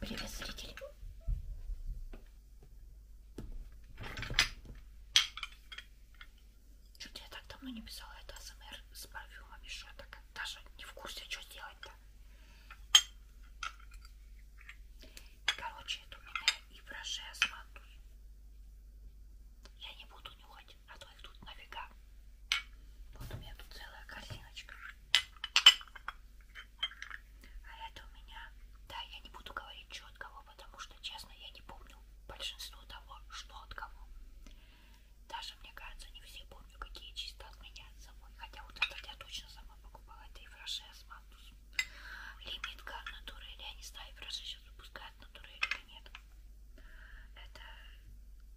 Привет, зритель. Что-то я так давно не писала это АСМР с парфюмами, что я так даже не в курсе, а что делать-то. Короче, это у меня и фраше с мантус. Я не буду нюхать а то их тут нафига. Вот у меня тут целая корзиночка. А это у меня, да, я не буду говорить, что от кого, потому что, честно, я не помню большинство того, что от кого. Даже, мне кажется, не все помню, какие чисто от меня от собой. Хотя вот этот я точно сама покупала. Это и фраше Асмантус. Лимитка от натурели. Я не знаю, фраше сейчас выпускают натурели уже нет. Это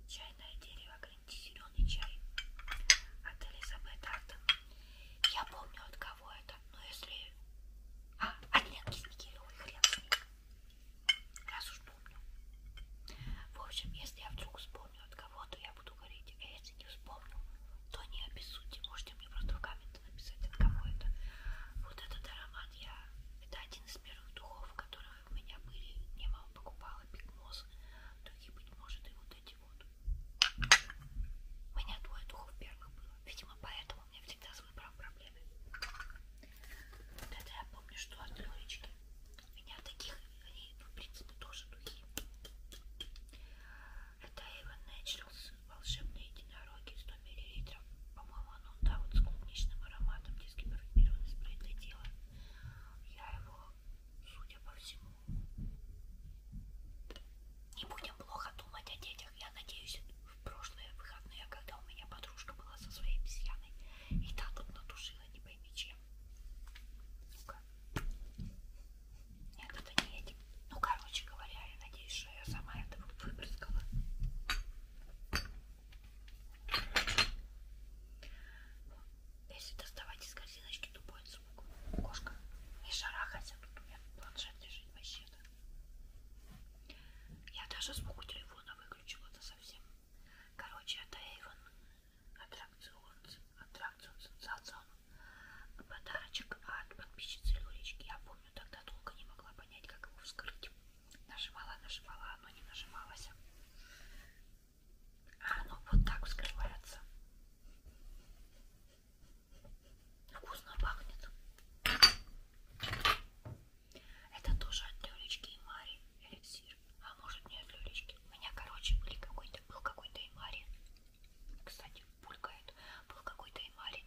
чайное дерево, зеленый чай от Элизабет Артон. Я помню от кого это, но если... А, от Ленки Снегиревой, хрен с ним. Раз уж помню. В общем, если я вдруг вспомню от кого-то, я буду говорить. А если не вспомню, то не обессудьте. Можете мне просто в комменты написать, от кого это. Вот этот аромат я... Это один из первых духов, которые у меня были, мне мама покупала пикмоз, другие, быть может, и вот эти вот. У меня двое духов первых было, видимо, поэтому у меня всегда с выбором проблемы. Вот это я помню, что от Лёлечки. У меня таких, они, ну, в принципе, тоже духи. Это Эйвен Naturals волшебные единороги 100 мл. По-моему, по-моему, ну да, вот с клубничным ароматом дискиперлированный спрей для тела. Я его, судя по всему, не будем плохо думать о детях. Я надеюсь, в прошлые выходные, когда у меня подружка была со своей обезьяной, и та тут натушила, не пойми чем. Ну-ка. Нет, это не этим. Типа. Ну, короче говоря, я надеюсь, что я сама это выбрызгала. Если доставать из корзиночки, то будет звук. Кошка не шарахайся, тут у меня планшет лежит вообще-то. Я даже звук у телефона выключила, это совсем. Короче, это Эйвен. Аттракцион, аттракцион, сенсацион. Подарочек от подписчицы Лулечки. Я помню, тогда долго не могла понять, как его вскрыть. Нажимала, нажимала, оно не нажималось. А оно вот так вскрывается. Вкусно пахнет. Это тоже от Лёлечки и Мари эликсир. А может не от Лёлечки. У меня, короче, были какой-то, был какой-то и Мари. Кстати, пулькает. Был какой-то и Мари,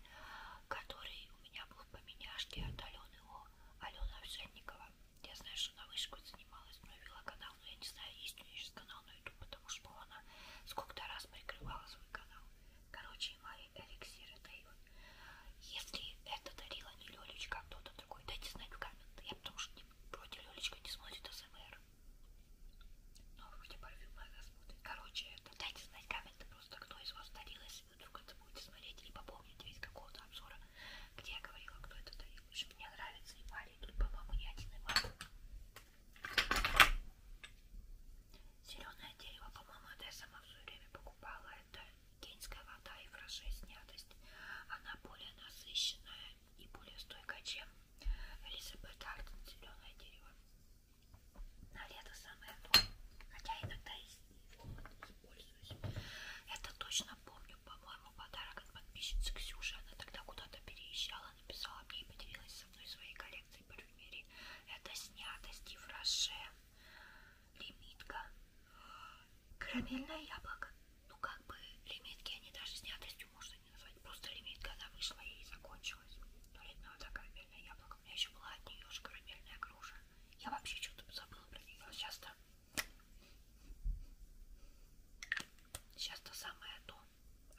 который у меня был в поменяшке от Алены О. Алена Овсянникова. Я знаю, что она вышкой занималась, провела канал, но я не знаю, есть у нее сейчас канал на YouTube, потому что она сколько-то раз прикрывала свой канал. Короче, мои эликсиры Дейва. Если это дарила не Лёлечка, а кто-то другой, дайте знать в комментах. Я потому что не, вроде Лёлечка не смотрит СМР. Но ну, вроде парфюм она смотрит. Короче, это дайте знать в комментах просто, кто из вас дарил, если вы вдруг это будете смотреть и попомните из какого-то обзора, где я говорила, кто это дарил. В общем, мне нравится и Валя, и тут, по-моему, не один и Валя. Зеленое дерево, по-моему, это я сама все время покупала. Это кенская вода и фраше снятость. Она более насыщенная и более стойкая, чем Элизабет Артон зеленое дерево. На лето самое то. Хотя иногда и их пользуюсь. Это точно помню, по-моему, подарок от подписчицы Ксюши. Она тогда куда-то переезжала, написала мне и поделилась со мной своей коллекцией парфюмерии. Это снято Стив Роше, лимитка, карамельное яблоко. Ну как бы лимитки, они даже снятостью можно не назвать. Просто лимитка, она вышла и закончилась. Но летно это карамельное яблоко. У меня еще была от нее же карамельная груша. Я вообще что-то забыла про нее. Сейчас-то Сейчас то самое а то.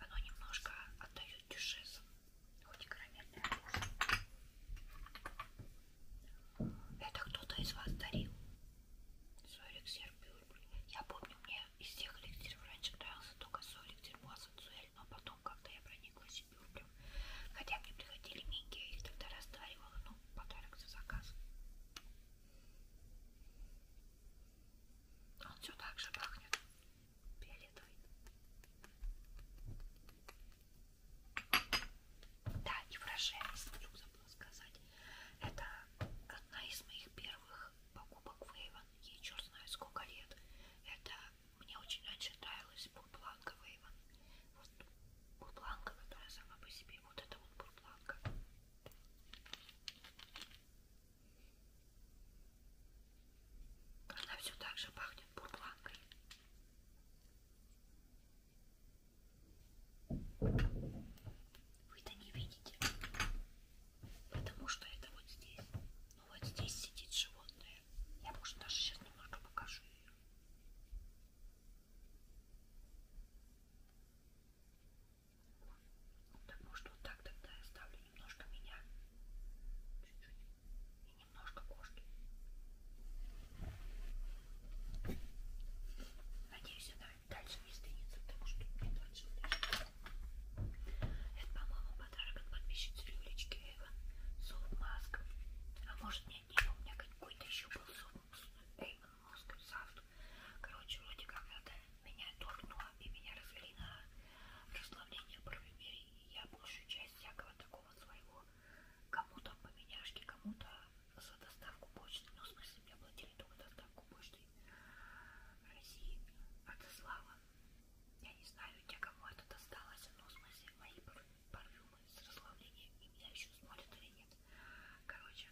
Оно немножко отдает дюшесом. Хоть и карамельное вкус. Это кто-то из вас дарил. Свой эликсир Я помню, мне из тех эликсиров раньше нравился только свой эликсир Муассацуэль, но потом как-то я прониклась и бюрблем. Хотя мне приходили минки, я их тогда растаривала, но ну, подарок за заказ. Он все так же пахнет. Фиолетовый. Да, и фрашенность, вдруг забыла сказать. Это одна из моих первых покупок Вейвен. Ей черт знает сколько лет. Это мне очень раньше нравилась бурбланка Вейвен вот бурпланка, которая сама по себе, вот это вот бурпланка. Она все так же пахнет бурпланкой. Вы это не видите, потому что это вот здесь. Ну вот здесь сидит животное. Я, может, даже сейчас немножко покажу ее. Так, может вот так тогда я ставлю немножко меня, чуть-чуть, и немножко кошки. Надеюсь, она дальше не сдвинется, потому что мне дальше Это, по-моему, подарок от подписчицы Люлечки Эйвен. Софт-маск. А может нет, нет, у меня какой-то еще был софт Эймон Москва, Сафт. Короче, вроде как это меня торкнуло и меня развели на расслабление парфюмерии. И я большую часть всякого такого своего кому-то поменяшки, кому-то за доставку почты. Ну, в смысле, мне платили только доставку почты России. Отослала. Я не знаю, те, кому это досталось, но в смысле мои парфюмы с расслаблением и меня еще смотрят или нет. Короче,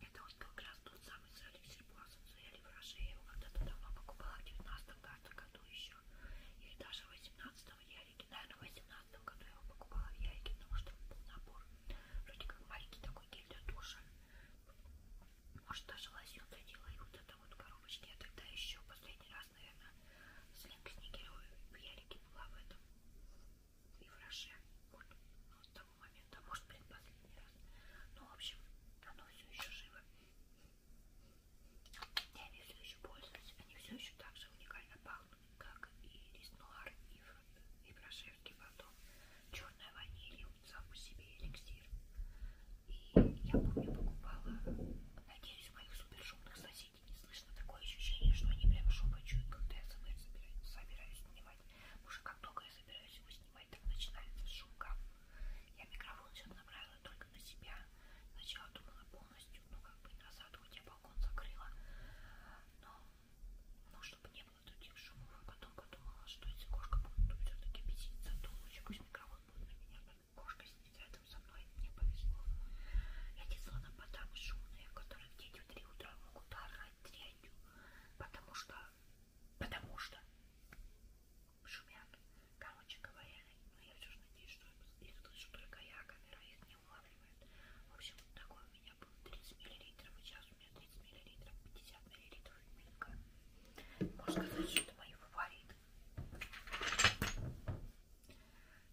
Это вот был как раз тот самый Салюсер Буассенсу или Фраше. Я его когда-то давно покупала, в 19 кажется, году еще. Или даже в 18 в Ярике. Наверное, в 18 году я его покупала в Ярике, потому что был набор. Вроде как маленький такой гель для душа. Может, даже лосьон задела. И вот это вот коробочки. Я тогда еще последний раз, наверное, с линк сникерой в Ярике была в этом и в Роше. Вот, вот с того момента, может, предпоследний раз. Ну, в общем, оно все еще живо. И они все еще пользуются. Они все еще так же уникально пахнут, как и рис нуар, и, в, и в Рошевский батон. Черная ваниль, сам по себе эликсир. И я помню, покупала, надеюсь, моих супершумных соседей не слышно слышно такое ощущение, что они прям шепочут, когда я собираюсь, собираюсь снимать. Потому что как только я собираюсь его снимать, так начинается шумка. Я микрофон сейчас направила только на себя. Сначала думала полностью, ну как бы назад, хоть я балкон закрыла. Но, ну, чтобы не было других шумов. А потом подумала, что если кошка будет все-таки беситься, то лучше пусть микрофон будет на меня. А кошка сидит рядом со мной, мне повезло. Я не слона по шумные, которые в 9-3 утра могут орать дрянью, потому что, потому что шумят. Короче говоря, но ну, я все же надеюсь, что их слышу только я, а камера их не улавливает. В общем, такой у меня был 30 миллилитров, и сейчас у меня 30 миллилитров, 50 миллилитров мелька. Можно сказать, что это мои фавориты.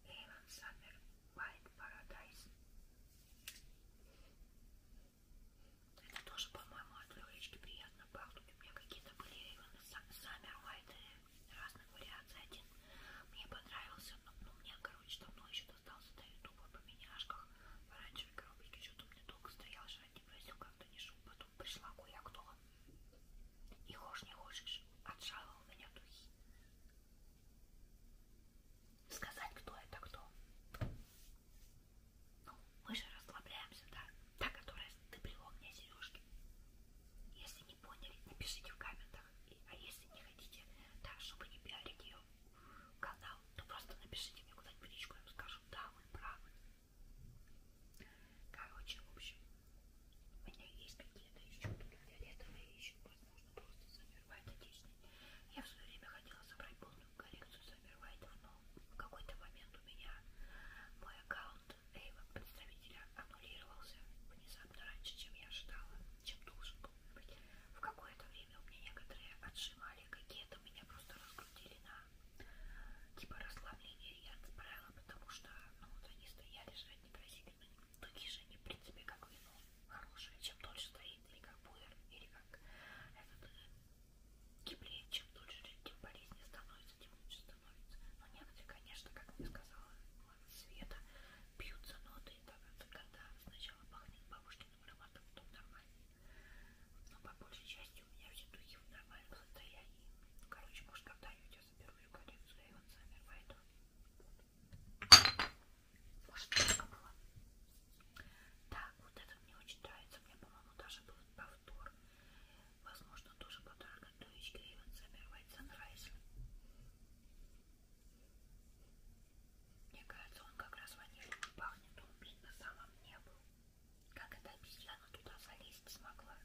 Эйвен Саммер White Paradise. Это тоже, по-моему, от легочки приятно пахнет. У меня какие-то были именно Summer White э, разных вариаций. Один мне понравился, но, но ну, мне, короче, давно еще достался до ютуба по меняшках. В оранжевой коробочке что-то мне долго стоял, жрать не просил, как-то не шел. Потом пришла кое-кто. И хошь не хочешь, отжала у меня духи сказать, кто это кто. Ну, мы же расслабляемся, да? Та, которая ты привел мне сережки. Если не поняли, напишите в комментах. И, а если не хотите, да, чтобы не пиарить ее канал, то просто напишите мне куда-нибудь в личку, я вам скажу, да, вы правы. Короче, в общем, у меня есть какие-то еще тут фиолетовые, еще вот можно просто Саммервайт отличный. Я в свое время хотела собрать полную коллекцию Саммервайтов, но в какой-то момент у меня мой аккаунт Эйва, представителя, аннулировался внезапно раньше, чем я ожидала, чем должен был быть. В какое-то время у меня некоторые отжимали какие-то, меня просто раскрутили на типа расслабление. Я отправила, потому что ну, вот они стояли, жрать не просили. Но ну, такие же они, в принципе, как вино ну, хорошее. Чем дольше стоит, или как пуэр, или как этот киплей. Э, чем дольше, тем полезнее становится, тем лучше становится. Но некоторые, конечно, как мне сказала Света, пьют за ноты, когда сначала пахнет бабушкиным ароматом, потом нормально. Но по большей части у меня все духи в нормальном состоянии. Короче, может когда-нибудь я заберу всю коллекцию Эйвенса Мирвайта. Может, только было. Так, вот это мне очень нравится. Мне, по-моему, даже был повтор. Возможно, тоже подарок от Тович Гривен Замервайт Санрайзер. Мне кажется, он как раз ванилью пахнет. Он, блин, на самом не был. Как эта обезьяна туда залезть смогла?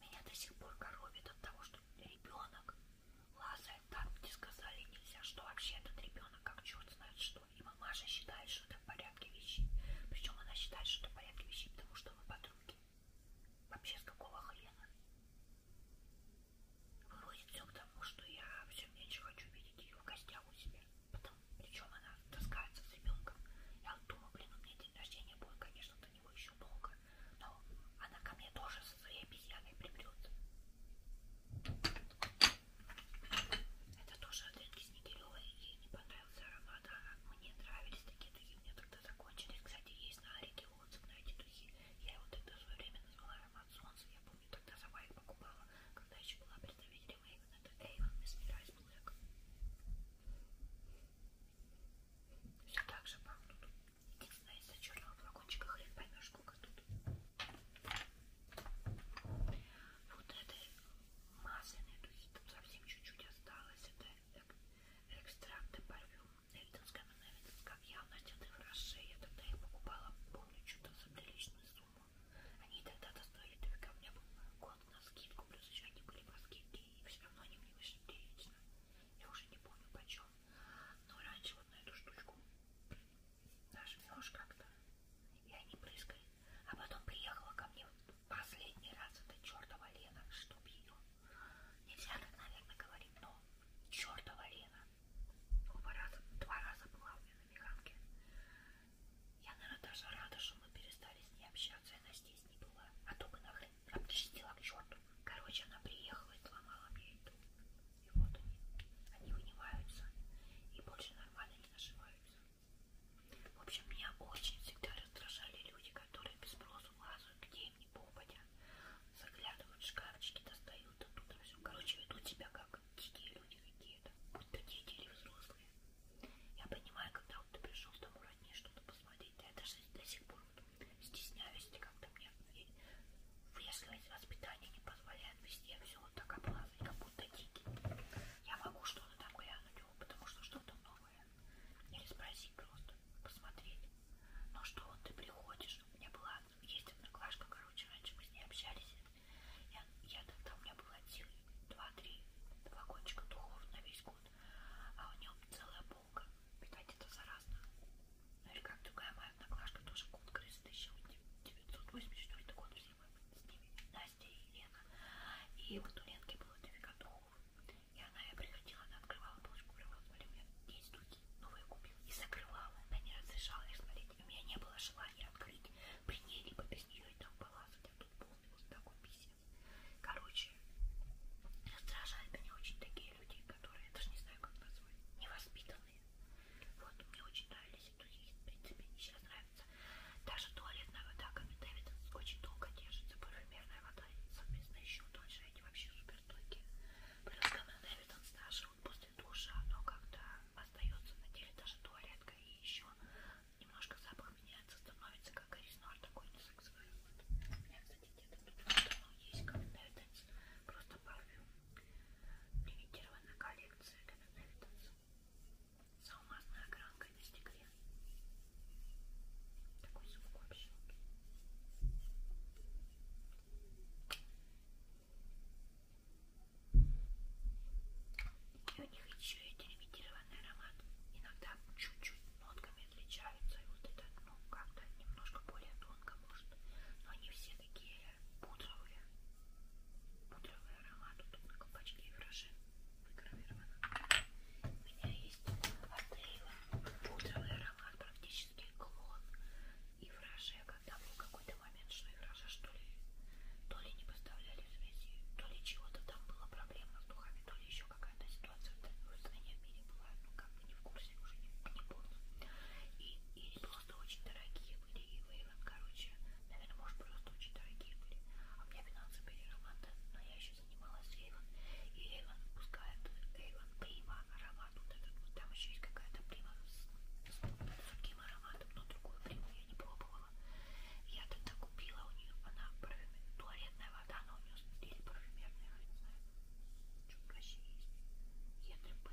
Меня до сих пор коробит от того, что ребенок лазает там, где сказали нельзя, что вообще этот ребенок как черт знает что. И мамаша считает, что это в порядке вещей. Причем она считает, что это в порядке вещей, потому что мы подруги. Вообще с какого хрена? Выходит все к тому, что я все меньше хочу видеть ее в гостях у себя. Потом, причем она таскается с ребенком. Я вот думаю, блин, у меня день рождения будет, конечно, до него еще долго. Но она ко мне тоже со своей обезьяной приберется. Это тоже от Ринки Снегиревой. Ей не понравился аромат, а мне нравились такие духи. У меня тогда закончились. Кстати, есть на Арике отзыв на эти духи. Я его тогда в свое время назвала аромат солнца. Я помню, тогда сама их покупала, когда еще была представителем Эйвен. Это Эйвен Mesmerize Black. Все так же пахнут. Единственное, из-за черного флакончика хрен поймешь, сколько тут. Вот этой масляной духи там совсем чуть-чуть осталось. Это экстракты парфюм Эльтонская Маневинс. Как я в Натянных Роше, я тогда их покупала, помню, что-то за приличную сумму. Они тогда-то стоили только у меня был год на скидку, плюс еще они были по скидке, и все равно они мне вышли прилично. Я уже не помню почем. Но раньше вот на эту штучку нажмешь как-то, и они прыскают. А потом приехала ко мне в последний раз эта чертова Лена, чтоб ее. Нельзя так, наверное, говорить, но чертова Лена. Оба раза, два раза была у меня на Механке. Я, наверное, даже рада, что мы перестали с ней общаться, и она здесь не была. А то бы нахрен обчистила к черту. Короче, она приехала и сломала мне еду. И вот они, они унимаются и больше нормально не наживаются. В общем, меня очень всегда раздражали люди, которые без спросу лазают, где им не попадя, заглядывают в шкафчики, достают оттуда а все. Короче, ведут себя как дикие люди какие-то, будь то дети или взрослые. Я понимаю, когда вот ты пришел домой роднее что-то посмотреть, да я даже до сих пор вот стесняюсь, когда мне если воспитание не позволяет вести а все вот так облазать, как будто дикий. Я могу что-то там глянуть его, потому что что-то новое. Или спросить просто, посмотреть. Но «Ну что вот ты приходишь? У меня была, есть одноклашка, короче, раньше мы с ней общались. Я, я тогда у меня было сил два-три два кончика духов на весь год, а у нее целая полка. Видать, это заразно. Или как другая моя одноклашка, тоже конкурс 1984 год, все мы с ними, Настя и Лена. И вот у Ленки было дофига духов. И она, я приходила, она открывала полочку, прямо смотри, у меня есть духи, новые купила. И закрывала, она не разрешала их смотреть. И у меня не было желания открыть при ней, либо без нее и там полазать. А тут полный вот такой писец. Короче, раздражают меня очень такие люди, которые, я даже не знаю, как назвать, невоспитанные. Вот, мне очень нравились духи, в принципе, они сейчас нравятся. Даже туалетная вода Ками Дэвиденс очень долго держится, парфюмерная вода совместно еще дольше, они вообще супер стойкие. Плюс Ками Дэвиденс даже вот после душа, оно как-то остается на теле, даже туалетка и еще немножко запах меняется, становится как Риснор, такой не сексуальный. Вот. У меня, кстати, где-то тут есть Ками Дэвиденс, просто парфюм. Лимитированная коллекция Кен Дэвидс с алмазной огранкой на стекле. Такой звук вообще. И у них еще и делимитированный аромат. Иногда чуть-чуть нотками отличаются. И вот это, ну, как-то немножко более тонко может. Но они все такие пудровые, пудровый аромат. Тут на колпачке вражи выгравировано. У меня есть от Эйва пудровый аромат, практически клон и враже. Когда был какой-то момент, что и вража, что ли, то ли не поставляли в связи, то ли чего-то там было проблема с духами, то ли еще какая-то ситуация в стране в мире была, ну как бы не в курсе, уже не, не помню. И, и было просто очень дорогие были, и Вейвен, короче, наверное, может, просто очень дорогие были. А у меня финансы были Романта, но я еще занималась Рейвен, и Рейвен пускает Рейвен Прима, аромат вот этот, вот там еще есть какая-то Прима с, с другим ароматом, но другую Приму я не пробовала. Я тогда купила у нее, она парфюмер, туалетная вода, она у нее, или парфюмерная, я не знаю, что вообще есть, ЕТП,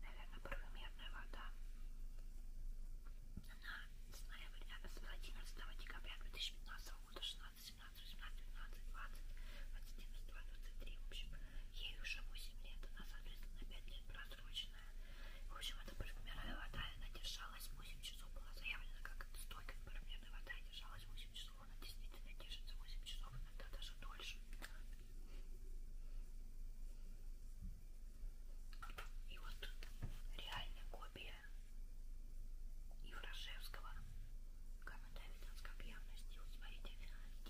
наверное, парфюмерная наверное, вода. Она с ноября, а, с 11 декабря 2015 года, 16, 17, 18, 19, 20, 21, 23, в общем, ей уже 8 лет, она, соответственно, на 5 лет просроченная. В общем, это парфюмерная вода, она держалась 8 часов, была заявлена как стойка парфюмерная вода, и держалась 8 часов, она действительно держится 8 часов, иногда даже дольше. И вот реальная копия Еврошевского Камедавиданской объявности. Вот смотрите,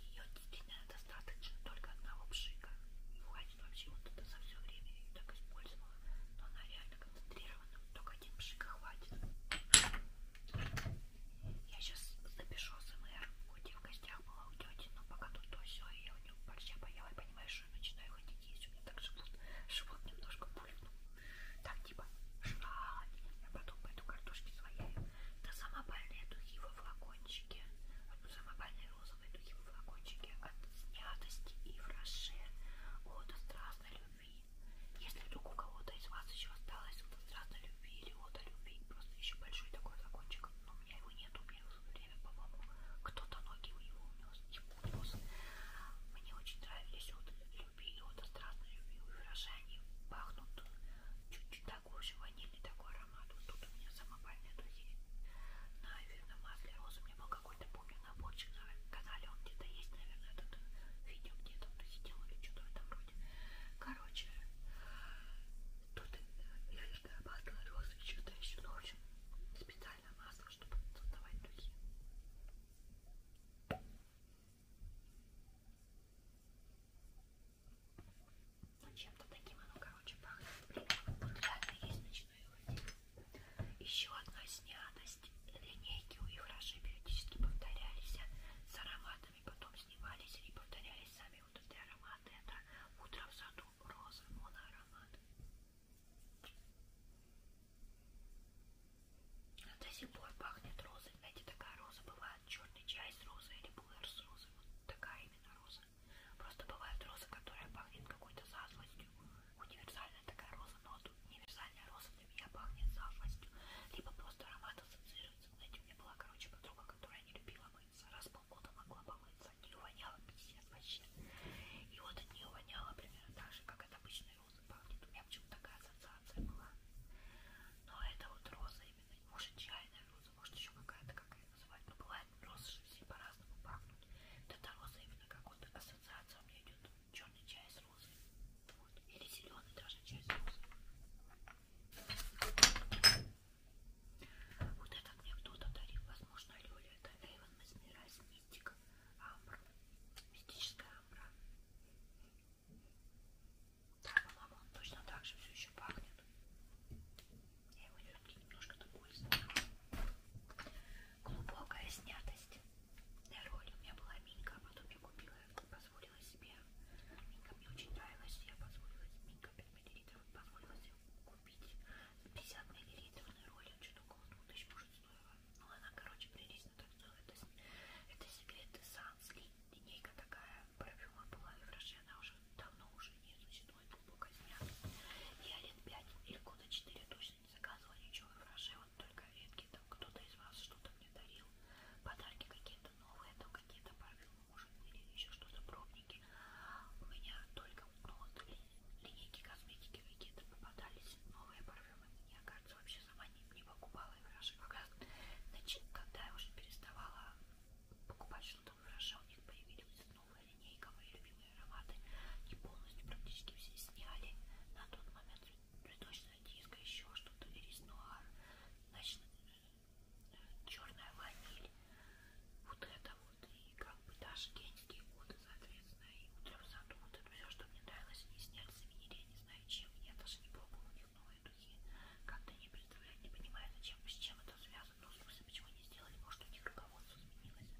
ее действительно достаточно только одного пшика. И хватит вообще вот это за все время я ее так использовала. Но она реально концентрирована. Только один пшик хватит. Я сейчас запишу СМР, где в гостях была у тети, но пока тут то все, и я у нее борща поела, и понимаешь, что я начинаю ходить есть, у меня так живут, живот немножко пульнул. Так, типа, жрать, я а потом пойду картошки свояю. Да самопальные духи во флакончике, а самопальные розовые духи во флакончике от снятости и фраше, от страстной любви. Если вдруг у кого-то из вас еще осталось от страстной любви или от любви, просто еще большой такой флакончик, но ну, меня его нет, у меня время, по-моему, кто-то ноги у него унес, ему унес. Мне очень нравились, вот любили, вот я страстно любил виражи, они пахнут чуть-чуть такой же ванильный такой аромат. Вот тут у меня самопальная духи на эфирном масле розы. У меня был какой-то, помню, наборчик на канале, он где-то есть, наверное, этот э, видео где-то он сидел или что-то в этом роде. Короче, тут эфирное каждая паста розы еще-то еще ночью ну, специальное масло, чтобы создавать духи. Ну, чем-то таким оно, короче, пахнет. Блин, реально есть ночной уходить. Еще одна снятость. Линейки у их раньше периодически повторялись с ароматами, потом снимались и повторялись сами самые вот эти ароматы это утро в саду розы моноаромат до сих пор пахнет розой знаете такая роза бывает черный чай с розой или пуэр с розой вот такая именно роза просто бывает роза которая пахнет какой-то зазвостью универсальная такая роза но вот универсальная роза для меня пахнет зазвостью либо просто аромат ассоциируется знаете у меня была короче подруга которая не любила мои нравится. Раз в полгода могла помыться. От нее воняло пиздец вообще. И вот от нее воняло примерно так же, как от обычной розы пахнет. У меня почему-то такая ассоциация была. Но это вот роза именно. Может чайная роза, может еще какая-то, как ее называть. Но бывает розы же все по-разному пахнут. Вот эта роза именно какой-то ассоциация у меня идет. Черный чай с розой. Вот. Или зеленый даже чай с розой. Вот это мне кто-то дарил, возможно, Лёля. Это Эйвен Масмирайс Мистик Амбра. Мистическая амбра. Да, по-моему, он точно так же все еще пахнет. Я его все-таки немножко такой сняла. Глубокая снятость. На роли у меня была Минька, а потом я купила, позволила себе. Минька мне очень нравилась, я позволила Минька 5 мл, позволила себе купить 50 миллилитрный ролик, что-то около 2000 может стоило. Ну, она, короче, прелестно так стоит. Это, это сигарета Санс, линейка такая, парфюма была и в Роше, она уже давно уже не существует, глубоко снята. Я лет 5 или года 4 точно не заказывала ничего в Роше, вот только редкие там кто-то из вас что-то мне дарил, подарки какие-то новые там какие-то парфюмы, может были еще что-то, пробники. У меня только ну, вот, линейки косметики какие-то попадались, новые парфюмы. Я, кажется, вообще сама не, не покупала и выражала. Как раз, когда я уже переставала покупать что-то выражал, у них появилась новая линейка, мои любимые ароматы. И полностью практически все сняли. На тот момент цветочная диска, еще что-то, ирис нуар, ночной черная ваниль. Вот это вот. И как бы даже геники года, соответственно, и утром в саду. Вот это все, что мне нравилось, они сняли с винили, я не знаю чем. Я даже не пробовала у них новые духи. Как-то не представляю, не понимаю, зачем, с чем это связано. Ну, в смысле, почему не сделали, может, у них руководство изменилось.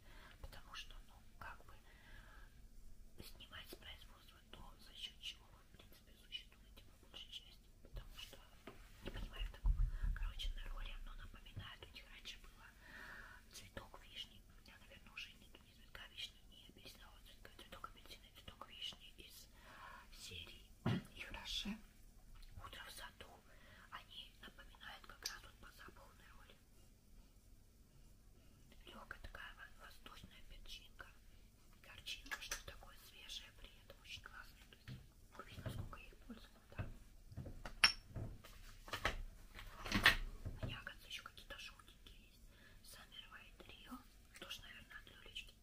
Потому что, ну, как бы снимать с производства то, за счет чего вы, в принципе, существуете по большей части есть, потому что не понимаю такого. Короче, на роли оно напоминает, у них раньше было цветок вишни, у меня, наверное, уже нет ни цветка вишни, ни апельсинового цветка, цветок апельсина, цветок вишни из серии и хорошо. Утро в саду, они напоминают как раз вот по запаху на роли. Легкая такая воздушная перчинка, горчинка, что такое свежее при этом очень классный Вообще, насколько я их пользовала, да. У а меня, оказывается, еще какие-то желтенькие есть. Summer White Rio. Тоже, наверное, от Люлечки.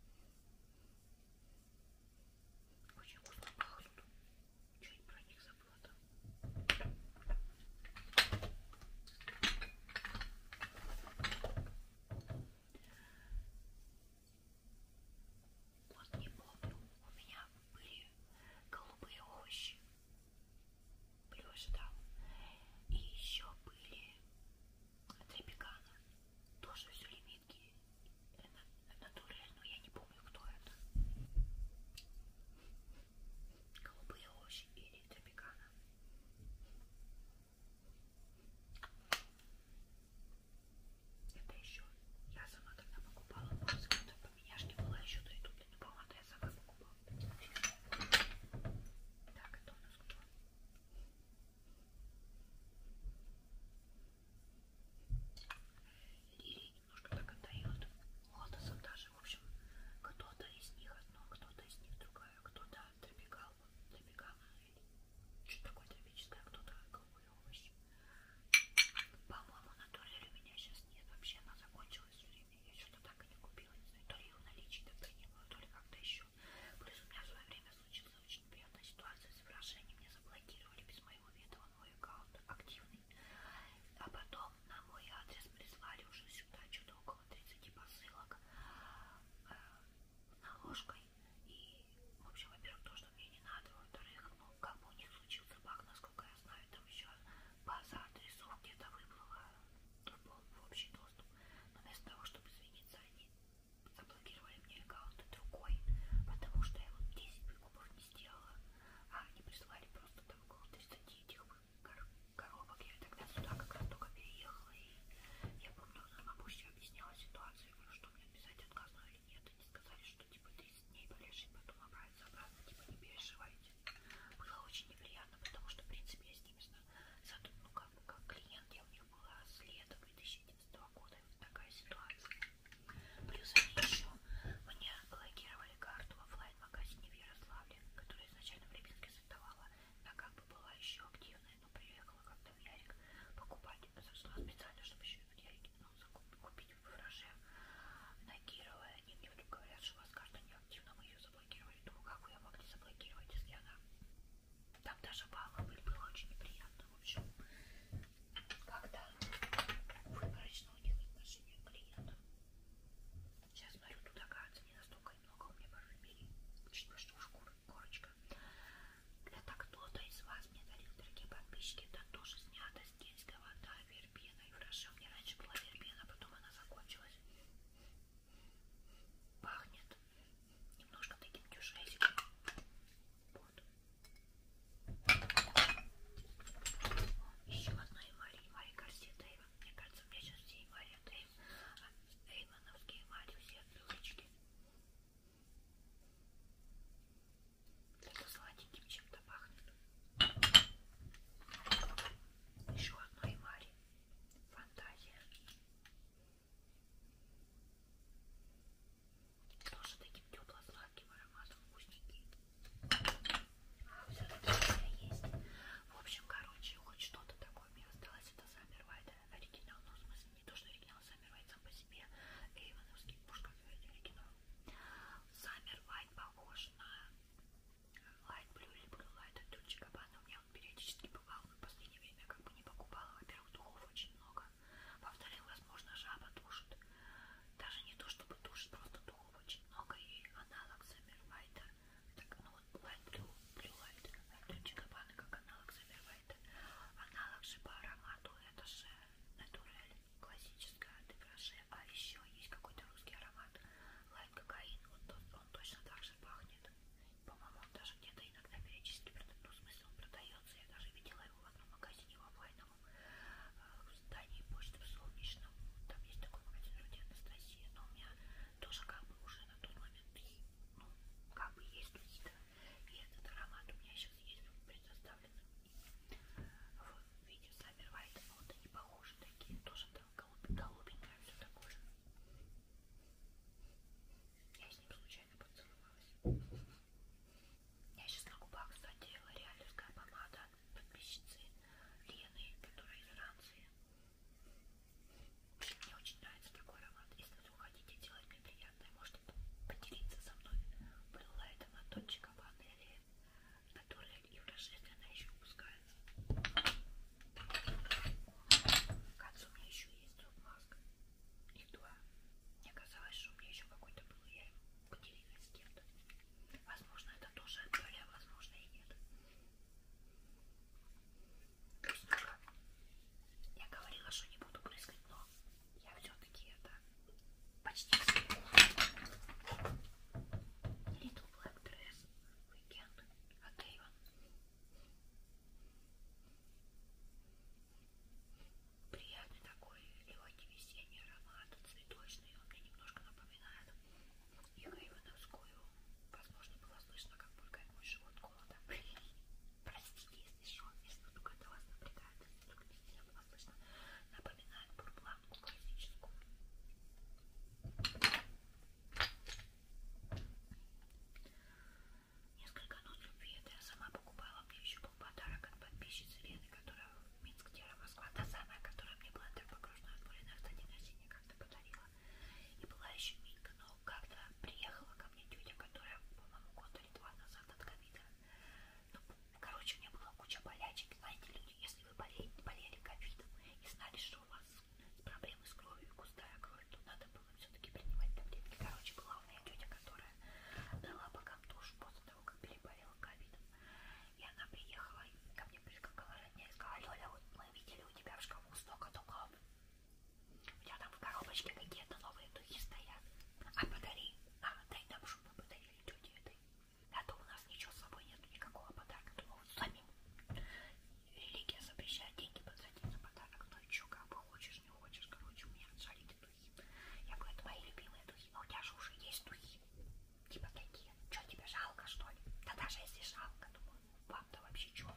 Очень вкусно пахнут. Чуть про них забыла там. Вот не помню, у меня были голубые овощи, плюш там, и еще были трепеканы, тоже все лимитки, э, натурель, но я не помню, кто это. Голубые овощи или трепеканы. Это еще я сама тогда покупала волосы, которые поменяшки была еще до ютуба, но помада я сама покупала. Так, это у нас кто? Лилии немножко так отдают лотосом даже, в общем, кто-то из них одно, кто-то из них другое, кто-то тропикал, тропикал, что такое тропическое, а кто-то голубой клевыш. По-моему, на турель у меня сейчас нет. Вообще она закончилась время. Я что-то так и не купила. Не знаю, то ли ее в наличии так принимаю, то ли как-то еще. Плюс у меня в свое время случилась очень неприятная ситуация с выражением. Меня заблокировали без моего ведома мой аккаунт активный. А потом на мой адрес прислали уже сюда что-то около 30 посылок э, наложкой. И, в общем, во-первых, тоже что мне не надо. Во-вторых, ну, кому не случился баг, насколько я знаю, там еще база адресов где-то выплыла в общий доступ. Но вместо того, чтобы извиниться, они заблокировали мне аккаунт другой, потому что я вот 10 выкупов не сделала, а они прислали просто там около 30 этих кор коробок. Я тогда сюда как раз только переехала, и я помню, на бабушке объясняла ситуацию, говорю, что мне писать отказано или нет, они сказали, что что типа 30 дней полежит, потом обратиться обратно, типа не переживайте. Было очень неприятно, потому что в принципе я с ними зато, ну как, как клиент я у них была с лета 2011 года, и вот такая ситуация. Плюс они еще мне блокировали карту в офлайн-магазине в Ярославле, которая изначально в Липецке сортовала, она как бы была еще активная, но приехала как-то в Ярик покупать зашла ну, специально, чтобы еще я ну, купить в фураже на Кирова. И мне вдруг говорят, что у вас карта неактивна, мы ее заблокировали. Думаю, как вы ее могли заблокировать, если она... Там даже балла было очень неприятно. В общем, когда выборочно у них отношение клиентов. Сейчас смотрю, тут оказывается не настолько много у меня парфюмерии. Учитывая, что уж корочка. Это кто-то из вас мне дарил, дорогие подписчики. Это тоже снято Кенская вода, вербена и хорошо. Мне раньше была вербена, потом она закончилась. Пахнет немножко таким дюшесиком. Вот. Еще одна эмаль, эмаль Гарсия Дэйва. Мне кажется, у меня сейчас все эмали Дэйв, а Эймановские эмали, все привычки. Это сладеньким чем-то пахнет. Еще одно и Мари. Фантазия. Тоже таким тепло-сладким ароматом вкусненький. А, все это у меня есть. В общем, короче, хоть что-то такое мне осталось. Это Саммер Вайда оригинал. Ну, в смысле, не то, что оригинал, Саммер сам по себе Эйвоновский муж, как говорит оригинал. Саммер Вайт похож на Light Blue или Blue Light от Дольче Габбана. У меня он периодически бывал, но в последнее время как бы не покупала. Во-первых, духов очень много. Во-вторых, возможно, жаба душит. Даже не то, чтобы душит, просто духов очень много. И аналог Саммер Вайта, так, ну вот Light Blue, Blue Light от Дольче Габбана, как аналог Саммер Вайта. Аналог же по аромату, это же натурель классическое деграше, а еще есть какой-то русский аромат лайт кокаин, вот он, он точно так же пахнет. По-моему, он даже где-то иногда периодически, ну, в смысле, он продается. Я даже видела его в одном магазине в онлайновом э, в здании почты в Солнечном. Там есть такой магазин вроде Анастасия, но у меня тоже как бы уже на тот момент, ну, как бы есть какие-то. И этот аромат у меня сейчас есть предоставлен в видео Саммер Вайт, но вот они похожи такие, тоже там голубенькое, все такое. Я с ним случайно поцеловалась. Я сейчас на губах, кстати, лореалевская помада от подписчицы Лены, которая из Франции. Мне очень нравится такой аромат. Если вы хотите делать мне приятное, можете поделиться со мной. Была это на тончика ванны серии, которые и в рождестве она еще выпускается. Кажется, у меня еще есть друг маска. Их два. Мне казалось, что у меня еще какой-то был, я его поделилась с кем-то. Возможно, это тоже отдали, а возможно и нет. Вкусненько. Я говорила, что не буду брызгать, но я все-таки это почти вспомнила. Little Black Dress Weekend от а Avon. Приятный такой легкий весенний аромат, цветочный. Он мне немножко напоминает их Эйвоновскую. Возможно, было слышно, как бургает мой живот голода. Простите, если что, если только это вас напрягает, только не сильно обычно напоминает бурбланку классическую. Несколько нот любви это я сама покупала. Мне еще был подарок от подписчицы Лены, которая в Минск, Тера, Москва. Та самая, которая мне была так погружена в море на день рождения как-то подарила. И была еще Минка, но как-то приехала ко мне тетя, которая, по-моему, год или два назад от ковида ну, короче, у меня была куча болячек. Знаете, люди, ну, если вы болели, болели ковидом и знали, что у вас проблемы с кровью и густая кровь, то надо было все-таки принимать таблетки. Короче, была у меня тетя, которая дала богам душу после того, как переболела ковидом. И она приехала и ко мне прискакала родня и сказала, Лёля, вот мы видели у тебя в шкафу столько духов. У тебя там в коробочке какие-то новые духи стоят. А подари, а дай нам, чтобы мы подарили тете этой а то у нас ничего с собой нет, никакого подарка, то вот самим. Религия запрещает деньги потратить на подарок, но ну еще как бы хочешь, не хочешь, короче, у меня отжали духи. Я говорю, это мои любимые духи, но у тебя же уже есть духи. Типа такие, что тебе жалко, что ли? Да даже если жалко, думаю, ну вам-то вообще что?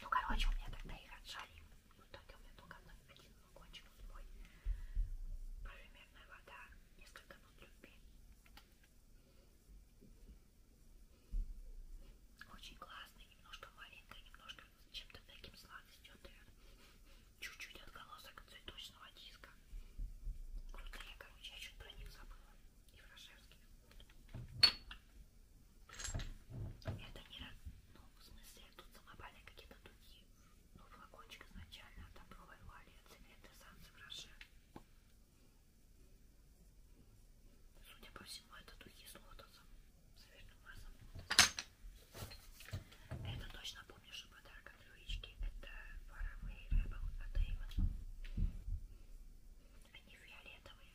Ну, короче, у меня тогда их отжали. Ну, тогда у меня только один, один ну, кончик, вот мой. Кроме наверное, вода, несколько минут любви. Очень классный, немножко маленькая, немножко чем-то таким сладостью, чуть-чуть отголосок цветочного диска. Крутые, короче, я чуть про них забыла. И Фрошевский. Это не... Ну, в смысле, тут самопальные какие-то духи но ну, флакончик изначально отоброй вали цвет эссансы гроше. Судя по всему, это духи с лотосом, с верным маслом Это точно помнишь подарок от Люички. Это Faraway Rebel от Avon. Они фиолетовые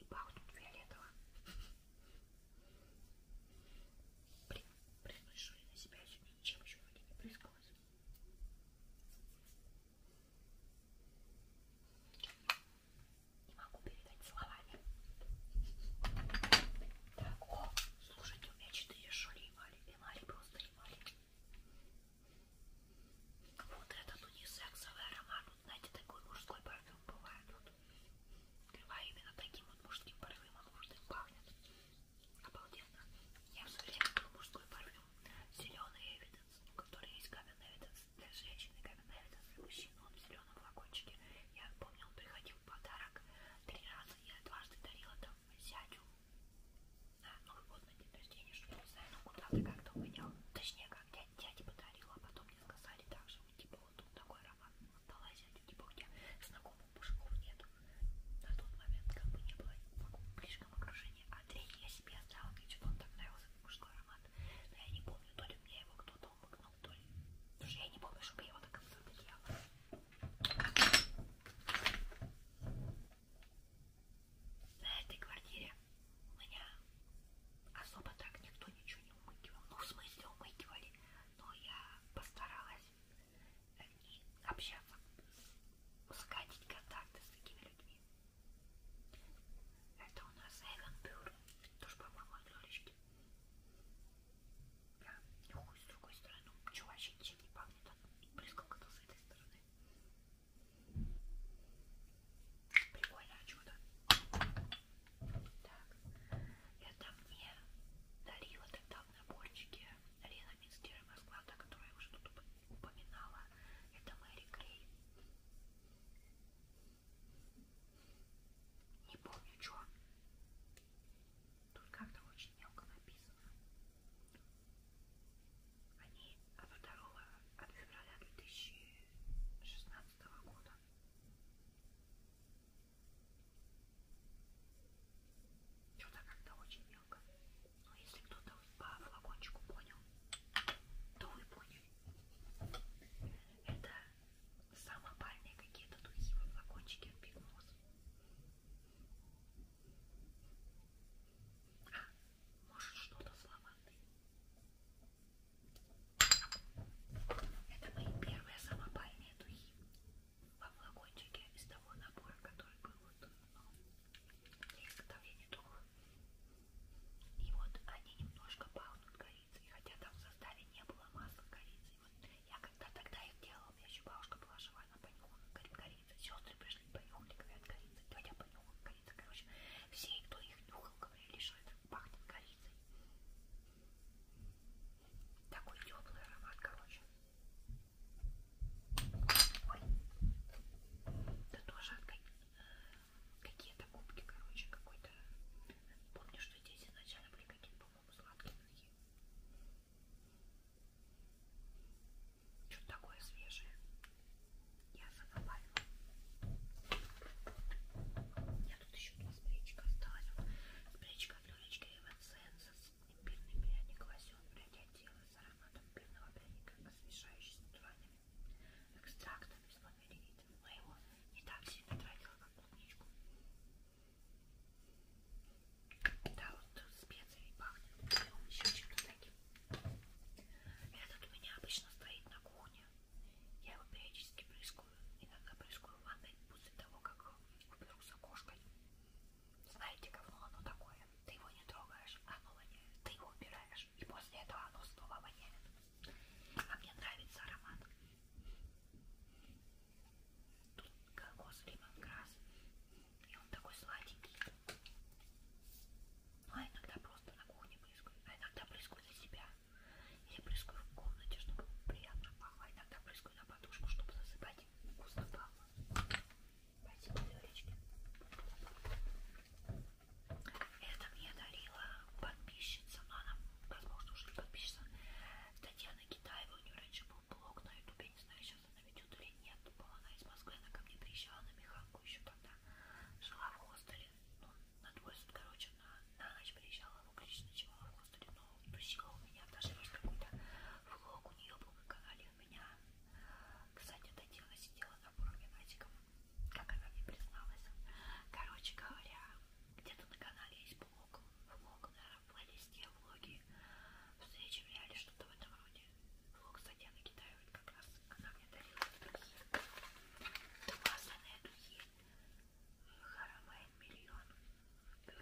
и пахнут фиолетово. Приношу я на себя еще ничем еще вроде не прыскалось. Не могу передать словами. Так, о, слушайте, у меня четыре шоли эмали, эмали, просто эмали. Вот этот унисексовый аромат, вот знаете, такой мужской парфюм бывает. Вот. Крыва именно таким вот мужским парфюмом нужным пахнет. Обалденно. Я все время был мужской парфюм. Зеленый Эвиденс, который есть Камен Эвиденс для женщины, Камен Эвиденс для мужчин. Он в зеленом флакончике. Я помню, он приходил в подарок три раза. Я дважды дарила там зятю на Новый год, на день рождения, что не знаю, но ну, куда-то как-то угонял. Точнее, как дядя подарила, а потом мне сказали также, типа, вот тут такой права отдала зятю, типа у тебя знакомых мужиков нету. На тот момент как бы не было в ближнем окружении. А третий я себе оставила, типа, мне что-то он так нравился, мужской аромат. Но я не помню, то ли мне его кто-то умыкнул, то ли... Потому что я не помню, чтобы я его так обсудила. На этой квартире у меня особо так никто ничего не умыкивал. Ну, в смысле умыкивали, но я постаралась и общаться, сходить контакты с такими людьми. Это у нас Эвенбюр, тоже, по-моему, от Лёлечки. Я нюхаю с другой стороны, ну, ничего вообще ничем не пахнет, а близко как-то с этой стороны. Прикольное чудо. Так, это мне дарила тогда в наборчике Лена Минстера расклада, которую я уже тут упоминала. Это Мэри Грей. Не помню, что. Тут как-то очень мелко написано. Они от 2 от февраля 2016 года. Что-то как-то очень мелко. Но если кто-то по флакончику понял, то вы поняли. Это самопальные какие-то духи во флакончике от Big Nose. А, может что-то с лавандой. Это мои первые самопальные духи во флакончике из того набора, который был вот, э, для изготовления духов. И вот они немножко пахнут корицей, хотя там в составе не было масла корицы. Вот я когда тогда их делала, у меня еще бабушка была жива, она понюхала корица. Сестры пришли, понюхали, говорят, корица. Тетя понюхала корица. Короче, все, кто их нюхал, говорили, что это пахнет корицей. Такой теплый аромат, короче. Ой. Да тоже какие-то губки, короче, какой-то. Помню, что здесь изначально были какие-то, по-моему, сладкие такие. Что-то такое свежее. Я забавила. Я тут еще у нас бричка осталась. Бричка от Лёлечки Эвансенса Имбирный пряник лосьон для тела с ароматом пивного пряника, освежающий с натуральными экстрактами с фламеридом. Но его не так сильно тратила, как клубничку. Да, вот специи пахнет. Он еще чем-то таким. Этот у меня обычно стоит на кухне. Я его периодически брызгаю. Иногда брызгаю в ванной после того, как уберу с окошкой. Знаете, говно оно такое? Ты его не трогаешь, оно воняет. Ты его убираешь, и после этого оно снова воняет. А мне нравится аромат. Тут кокос, лимонграсс. И он такой сладенький. Ну, а иногда просто на кухне брызгаю. А иногда брызгаю за себя. Или брызгаю в комнате, чтобы приятно пахло. А иногда брызгаю подушечку на подушку, чтобы засыпать вкусно пахло. Спасибо, Лёлечки. Это мне дарила подписчица, но она, возможно, уже не подписчица, Татьяна Китаева. У нее раньше был блог на ютубе, не знаю, сейчас она ведет или нет. Была она из Москвы, она ко мне приезжала на Миханку еще тогда. Жила в хостеле, ну, на двое суток, короче, на, на ночь приезжала, в Углич ночевала в господи, ну тусила ну у меня, даже есть какой-то влог у нее был на канале, у меня, кстати, эта девушка сидела на форуме Назиков, как она мне призналась, короче говоря, где-то на канале есть блог, влог, наверное, в плейлисте влоги, встречи в реале, что-то в этом роде, влог, кстати, она китаевит как раз, она мне дарила духи, масляные духи, Харамайн миллион, что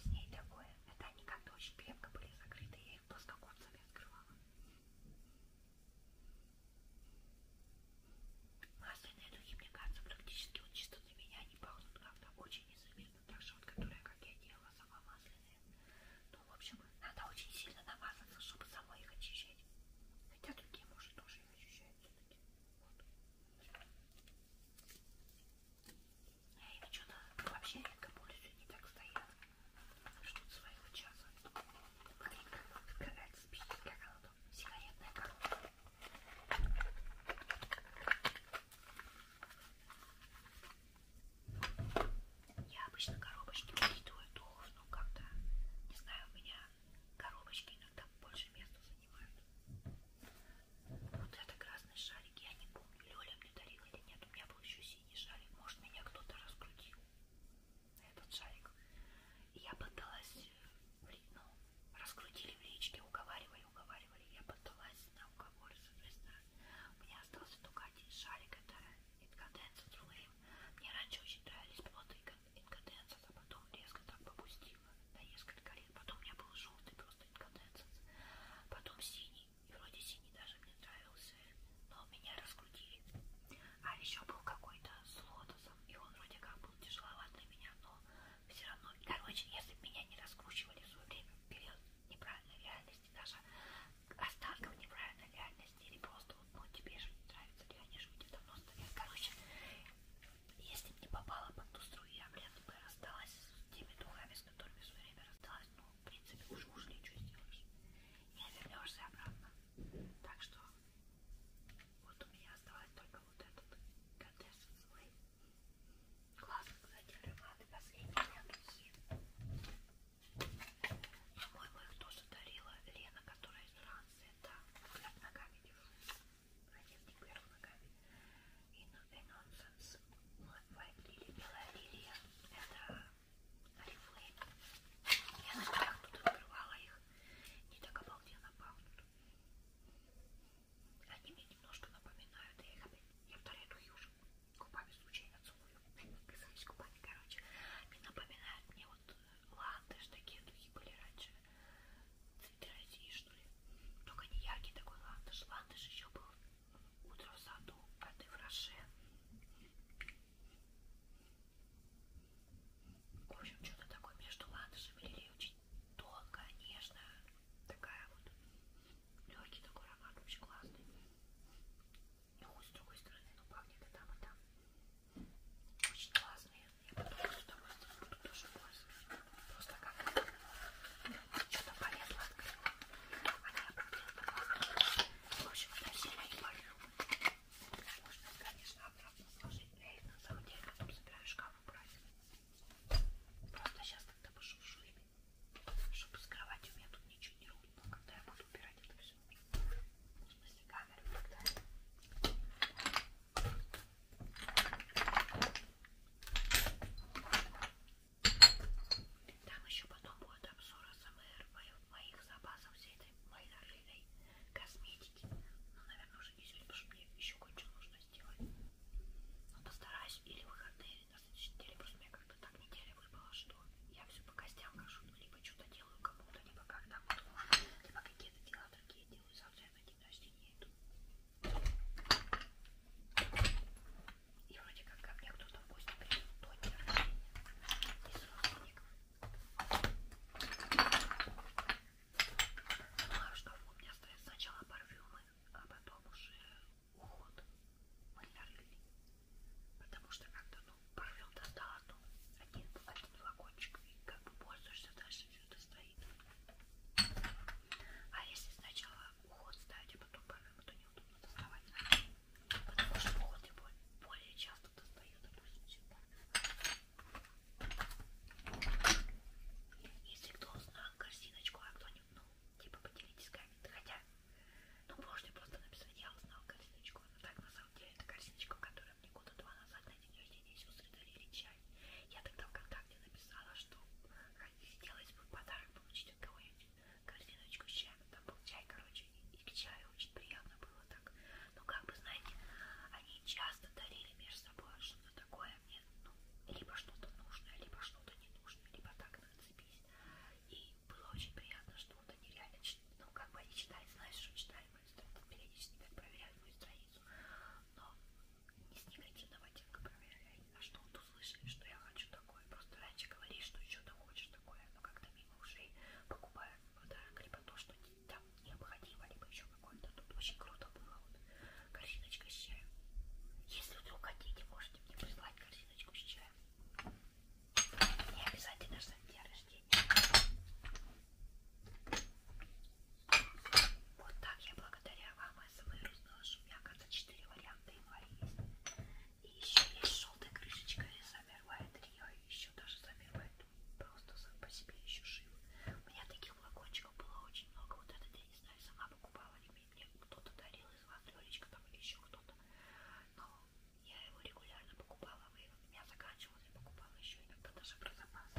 с ней такое? Это они как-то очень крепко были закрыты, я их плоскогубцами открывала. Масляные духи, мне кажется, практически вот чисто для меня они пахнут как-то очень незаметно. Так что вот, которая, как я делала, сама масляная, ну, в общем, надо очень сильно намазаться, чтобы самой их очищать. Хотя другие мужи тоже их очищают все-таки. Вот. Я ими что-то вообще редко пользуюсь, не так стоят. Ждут своего часа. Смотри, как открывается спички для голода. Сигаретная коробка. Я обычно коробочки передаю духов, но как-то, не знаю, у меня коробочки иногда больше места занимают. Вот это красный шарик, я не помню, Лёля мне дарила или нет, у меня был еще синий шарик, может меня кто-то раскрутил на этот шарик. И я пыталась, э, ну, раскрутили в речке, уговаривали уговаривали, уговаривали. Я поддалась на уговор, соответственно. У меня остался только один шарик, это инкаденс от Рулейм. Мне раньше очень нравились плоды инкаденс, а потом резко так попустила на несколько лет. Потом у меня был желтый просто инкаденс, потом синий. И вроде синий даже мне нравился, но меня раскрутили. А еще был какой-то с лотосом, и он вроде как был тяжеловат для меня, но все равно. Короче, если бы меня не раскручивали в свое время вперед неправильно реальность, реальности, даже останков неправильной реальности, или просто, ну, тебе же не нравится, или они же где-то просто, короче, если бы не попала под ту струю, я, блин, бы рассталась с теми духами, с которыми в свое время рассталась, ну, в принципе, уже ушли, что сделаешь, не вернешься обратно, так что, вот у меня осталось только вот этот контест свой. Классно, кстати, ароматы последние духи. По-моему, их тоже дарила Лена, которая из Франции. Да, хлеб ногами держу. Противник вверх ногами. И Nonsense. White Lily, белая лилия. Это Oriflame. Я на днях тут открывала их. Не так обалденно пахнут. Они мне немножко напоминают. Я их опять... Я вторые духи уже губами случайно целую, вписываюсь губами, короче, они напоминают мне вот э, ландыш, такие духи были раньше, цветы России, что ли, только не яркий такой ландыш, ландыш еще был утро в саду, а ты в Роше. В общем, что-то такое между ландышами лилей очень тонкая, нежная, такая вот легкий такой аромат, очень классный. Ну, с другой стороны, ну пахнет и там, и там. Очень классные. Я потом с удовольствием буду тоже пользоваться. Просто как что-то полезло открыла. Она обратила на В общем, это сильно не болю. Можно, конечно, обратно сложить. Но я их на самом деле потом собираю шкаф убрать. Просто сейчас тогда пошуршу ими чтобы с кровати у меня тут ничего не рухнуло, когда я буду убирать это все. В смысле, камеру тогда. Там еще потом будет обзор СМР моих запасов всей этой моей нормальной косметики. Ну, наверное, уже не сегодня, потому что мне еще кое-что нужно сделать. Но постараюсь или выходные значит, неделе просто меня как-то так неделя выпала, что я все по костям хожу, ну, либо что-то делаю кому-то, либо когда вот, либо какие-то дела другие делаю, завтра я на день рождения иду. И вроде как ко мне кто-то в гости придет до дня рождения из родственников. Думаю, ну, что у меня остается сначала парфюмы, а потом уже уход малярный, потому что как-то ну, провел достал одну, один, один флакончик и как бы пользуешься дальше все стоит. А если сначала уход ставить, а потом парфюм, то неудобно доставать, потому что уход я более, более часто достаю, допустим, чем если кто узнал корзиночку, а кто-нибудь, ну, типа поделитесь комментами, хотя ну, можно просто написать, я узнал корзиночку. Но ну, так, на самом деле, это корзиночка, которая мне года два назад на день рождения сестры дарили чай. Я тогда ВКонтакте написала, что хотелось бы в подарок получить от кого-нибудь корзиночку с чаем. Там был чай, короче, и к чаю очень приятно было так. Но, ну, как бы, знаете, они часто дарили между собой что-то такое мне, ну, либо что-то нужное, либо что-то ненужное, либо так, нацепись значит. И было очень приятно, что вот они реально, ну, как бы они читали, знаешь, что читали мою страницу, периодически так проверяют мою страницу, но не с негативного оттенка проверяли, а что вот услышали, что я хочу такое. Просто раньше говори, что еще ты хочешь такое, но как-то мимо ушей покупают подарок, либо то, что там необходимо, либо еще какое-то. Тут очень круто было, вот, корзиночка с чаем. Если вдруг хотите, можете мне прислать корзиночку с чаем. И обязательно же на день рождения. Вот так я благодаря вам СМР узнала, что у меня, оказывается, 4 варианта января есть. И еще есть желтая крышечка и замервая трио, и еще даже замервая просто сам по себе еще жив. У меня таких флакончиков было очень много. Вот этот я не знаю, сама покупала помню, мне кто-то дарил из вас, Лёлечка там или еще кто-то. Но я его регулярно покупала, и у меня заканчивалось, я покупала еще иногда даже про запас.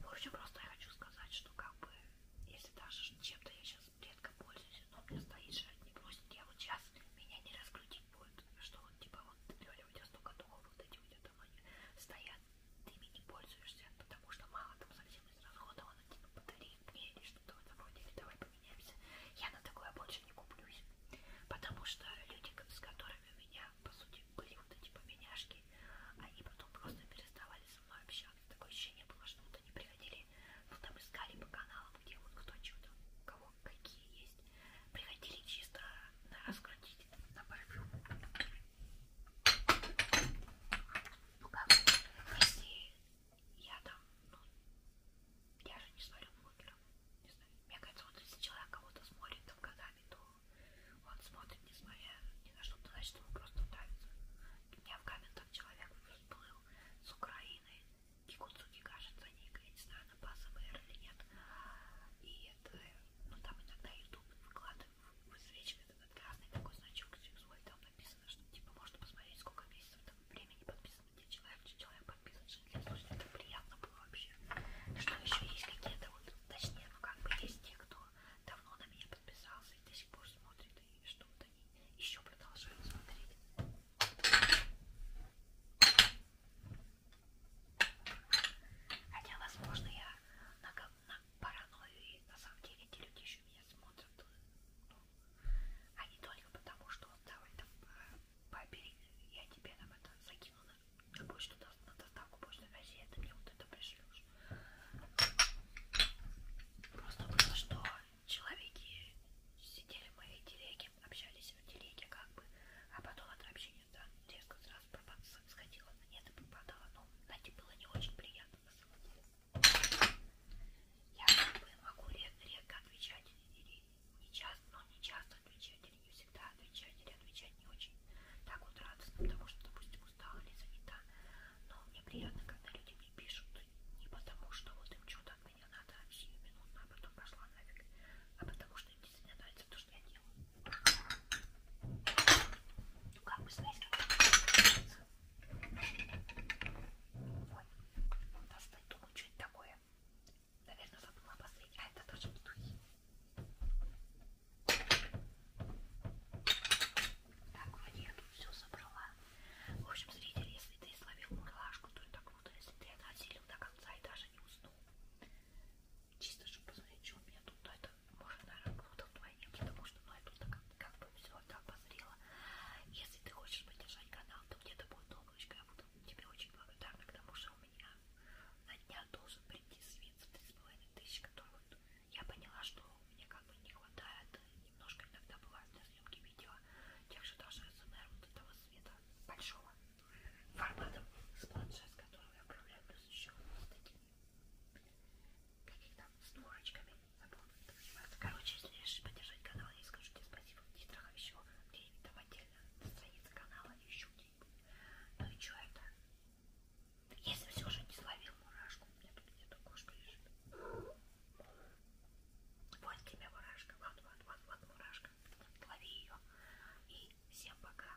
В общем, просто я хочу сказать, что как бы, если даже чем-то я сейчас редко пользуюсь, но у меня стоит же, не бросит, я вот сейчас меня не раскрутить будет, что вот типа вот Лёля, у тебя столько духов, вот эти у тебя там они стоят, ты ими не пользуешься, потому что мало там совсем израсходовано, типа батареи мне или что-то в этом роде, или давай поменяемся. Я на такое больше не куплюсь, потому что люди, с которыми у меня, по сути, были вот эти поменяшки, они потом просто переставали со мной общаться. Такое ощущение было, что вот они приходили, ну там искали по каналам, где вот кто что-то, кого какие есть, приходили чисто на раскрутить, на барбю. Ну как, если я там, ну, я же не смотрю блогеров, не знаю, мне кажется, вот если человек кого-то смотрит там годами, то он смотрит, несмотря ни на что, значит ему просто нравится. У меня в комментах человек всплыл с Украины, Кикуцуки кажется, Ника, я не знаю, она базовая или нет. И это, ну там иногда YouTube выкладывает свечка этот красный такой значок сексуаль, там написано, что типа можно посмотреть, сколько месяцев там времени подписано, где человек, где человек подписан, что для слушателей это приятно было вообще. Что еще есть какие-то вот, точнее, ну как бы есть те, кто давно на меня подписался и до сих пор смотрит и что-то они еще продолжают смотреть. Хотя, возможно, я на, на паранойю, и на самом деле эти люди еще меня смотрят, ну, а не только потому, что вот давай там э, побери, я тебе там это закину на почту, на доставку почты, России, а ты мне вот это пришлешь. Просто было, что человеки сидели в моей телеге, общались в телеге как бы, а потом это вообще магазине, да. Девушка сразу сходила на нет и попадала. Но, знаете, было не очень приятно на самом деле. Я как бы могу редко отвечать или не часто, но не часто отвечать, или не всегда отвечать, или отвечать не очень так вот радостно, потому что, допустим, устала или занята. Но мне приятно, когда люди мне пишут не потому, что вот им что-то от меня надо а сию минутно, а потом пошла нафиг, а потому что им действительно нравится то, что я делаю. Ну, как бы, знаете, Ой, достать, думаю, что это такое. Наверное, забыла обозреть. А это тоже бутылки. Так, вроде я тут все собрала. В общем, зритель, если ты словил мурашку, то это круто. Если ты отходил до конца и даже не уснул, Чисто, чтобы посмотреть, что у меня тут. Но это, может, наверное, было вдвойне, потому что, ну, я тут как, как бы все это обозрела. Если ты хочешь поддержать канал, то где-то будет облачко. Я буду тебе очень благодарна, потому что у меня на днях должен прийти свет за 3,5 тысячи, который вот я поняла, что мне как бы не хватает. Немножко иногда бывает для съемки видео тех же даже СМР вот этого света большого формата с планшет, с которого я управляю, плюс еще вот таким Каких там с дурочками. Забыл, как называется. Короче, если решишь поддержать канал, я скажу тебе спасибо в титрах еще где-нибудь там отдельно на странице канала еще где-нибудь. Ну и что это? Если все же не словил мурашку, у меня тут где-то кошка лежит. Вот тебе мурашка, вот, вот, вот, вот мурашка. Лови ее. И всем пока.